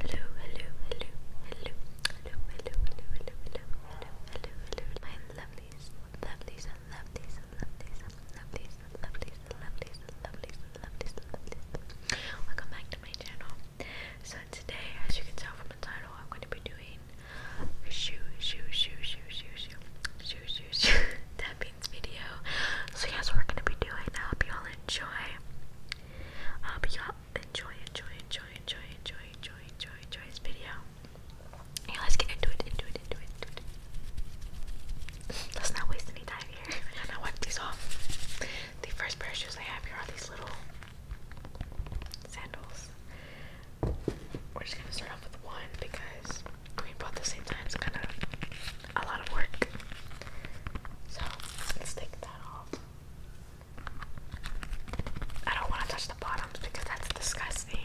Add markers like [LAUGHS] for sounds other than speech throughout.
Hello, hello, hello, hello, hello, hello, hello, hello, hello, hello, hello, my lovelies, lovelies, lovelies, lovelies, lovelies, lovelies, lovelies, lovelies, lovelies, lovelies. Welcome back to my channel. So today, as you can tell from the title, I'm going to be doing shoe, shoe, shoe, shoe, shoe, shoe, shoe, shoe, shoe means video. So yes, we're going to be doing. I hope you all enjoy. Uh, but y'all enjoy, enjoy, enjoy, enjoy, enjoy, enjoy, enjoy, enjoy this video. Yeah, let's get into it, into it, into it, into it. Let's not waste any time here. [LAUGHS] I'm gonna wipe these off. The first pair of shoes I have here are these little sandals. We're just gonna start off with one because we both at the same time, it's kind of a lot of work. So let's take that off. I don't want to touch the bottoms because that's disgusting.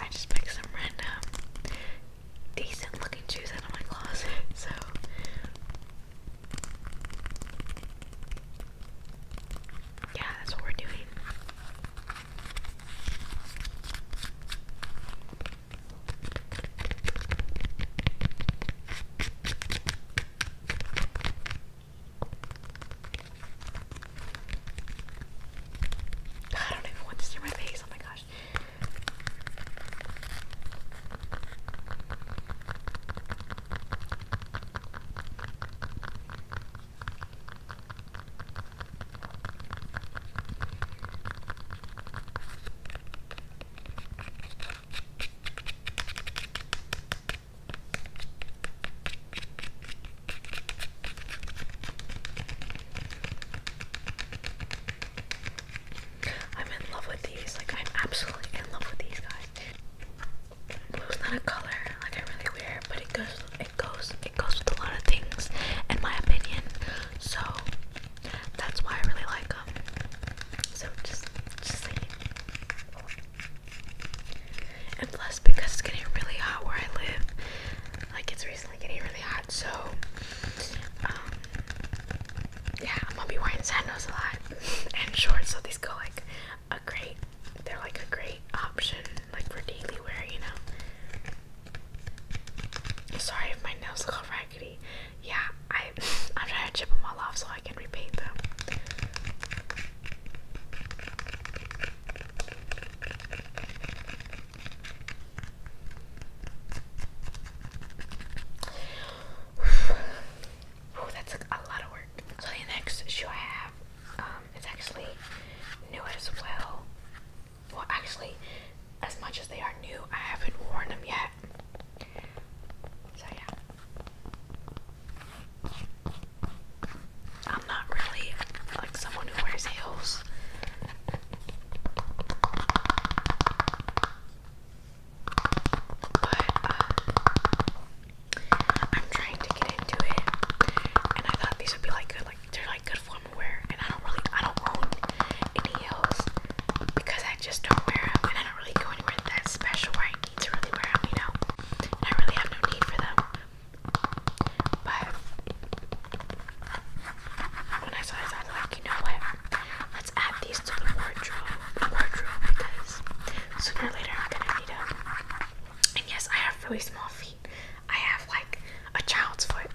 I just picked some random decent looking shoes out of my closet, [LAUGHS] so yeah, that's what we're doing. I don't even want to see my face. Oh my gosh. I'm in love with these. Like I'm absolutely in love with these guys. Blue's not a color like I really wear, but it goes it goes it goes with a lot of things in my opinion. So that's why I really like um, so just, just And plus, because it's getting really hot where I live, like it's recently getting really hot, so um, yeah, I'm gonna be wearing sandals a lot [LAUGHS] and shorts. So these go like a great, they're like a great option, like for daily wear, you know. Sorry if my nails go right yeah, I [LAUGHS] I'm trying to chip them all off so I can repaint them. Ooh, [SIGHS] that's a, lot of work. So next shoe I have, um, it's actually new as well. Well, actually, as much as they are new, I haven't worn them yet. So yeah. I'm not really like someone who wears heels. But uh, I'm trying to get into it, and I thought these would be like good, like they're like good formal wear. And I don't really, I don't own any heels because I just don't wear them, and I don't really go anywhere that special where I need to really wear them, you know? I really have no need for them. But when I saw this, I was like, you know what? Let's add these to the wardrobe, wardrobe because sooner or later I'm gonna need them. And yes, I have really small feet. I have like a child's foot.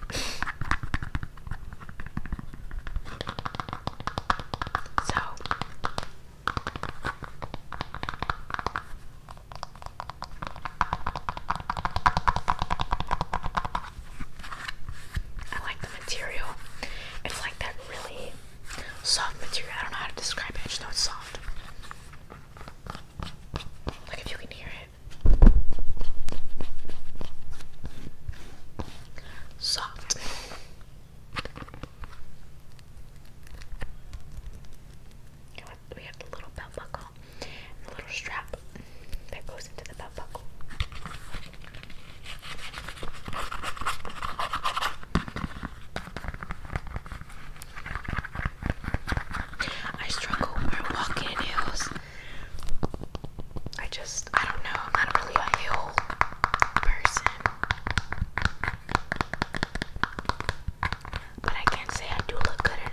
So I like the material. It's like that really soft material. I don't know how to describe it. I just know it's soft. Like if you can hear it soft. We have the little belt buckle, and the little strap that goes into the belt buckle. I struggle when walking in heels. I just, I don't know, I'm not really a hill person. But I can't say I do look good in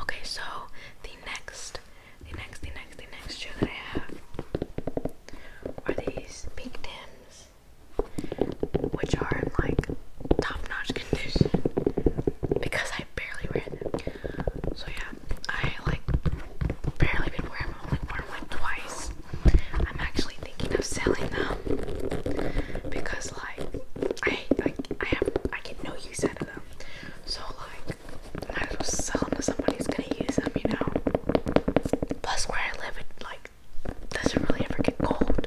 Okay, so the next, the next, the next, the next shoe that I have are these pink Tims which are in like top-notch condition because I barely wear them. So yeah, I like barely been wearing them. I only worn them like twice. I'm actually thinking of selling them because like I like I have I get no use out of them. So like might as well sell them to somebody who's gonna use them, you know. Plus where I live it like doesn't really ever get cold.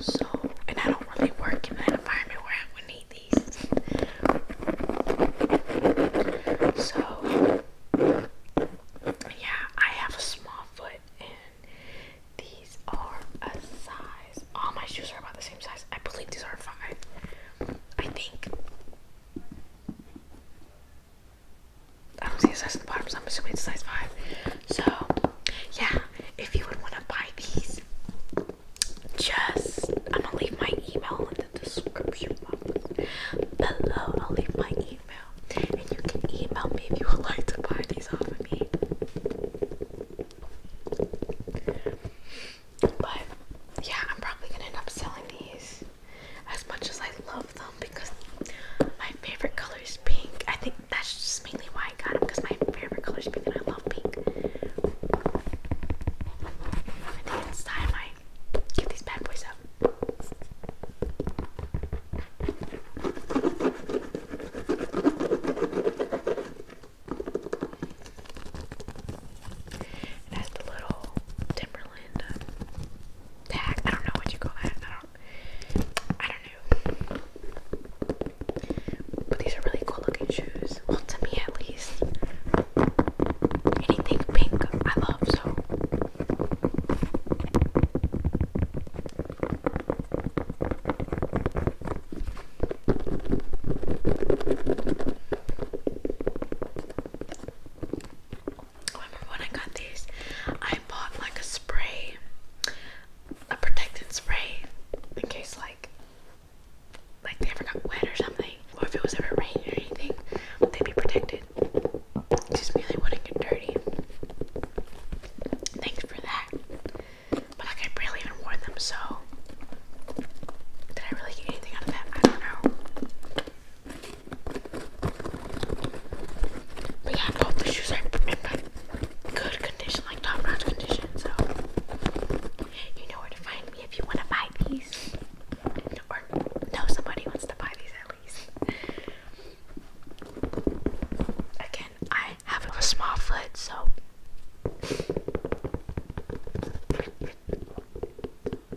So, and I don't really work in that environment where I would need these. So, yeah, I have a small foot, and these are a size. All my shoes are about the same size. I believe these are five. I think. I don't see a size in the bottom, so I'm assuming it's size 5. So, yeah, if you would want to buy these, just, I'm going to leave my email in the description box below. I'll leave my email, and you can email me if you would like to buy these off of me. But, yeah, I'm probably going to end up selling these as much as I love because my favorite color is pink. I think that's just mainly why I got them because my favorite color is pink and I love pink. It has the little Timberland uh, tag. I don't know what you call that. I don't know. But these are really cool looking shoes. Well, to me at least. Anything pink, I love so. I remember when I got these, I bought like a spray, a protectant spray, in case like like they ever got wet or something, or if it was ever rain or anything, they'd be protected. Just me, they wouldn't get dirty. Thanks for that. But like I barely even wore them, so did I really get anything out of that? I don't know. But yeah, both the shoes are in good condition, like top notch condition. So you know where to find me if you want to buy these, or know somebody wants to buy these at least. Again, I have a small foot, so.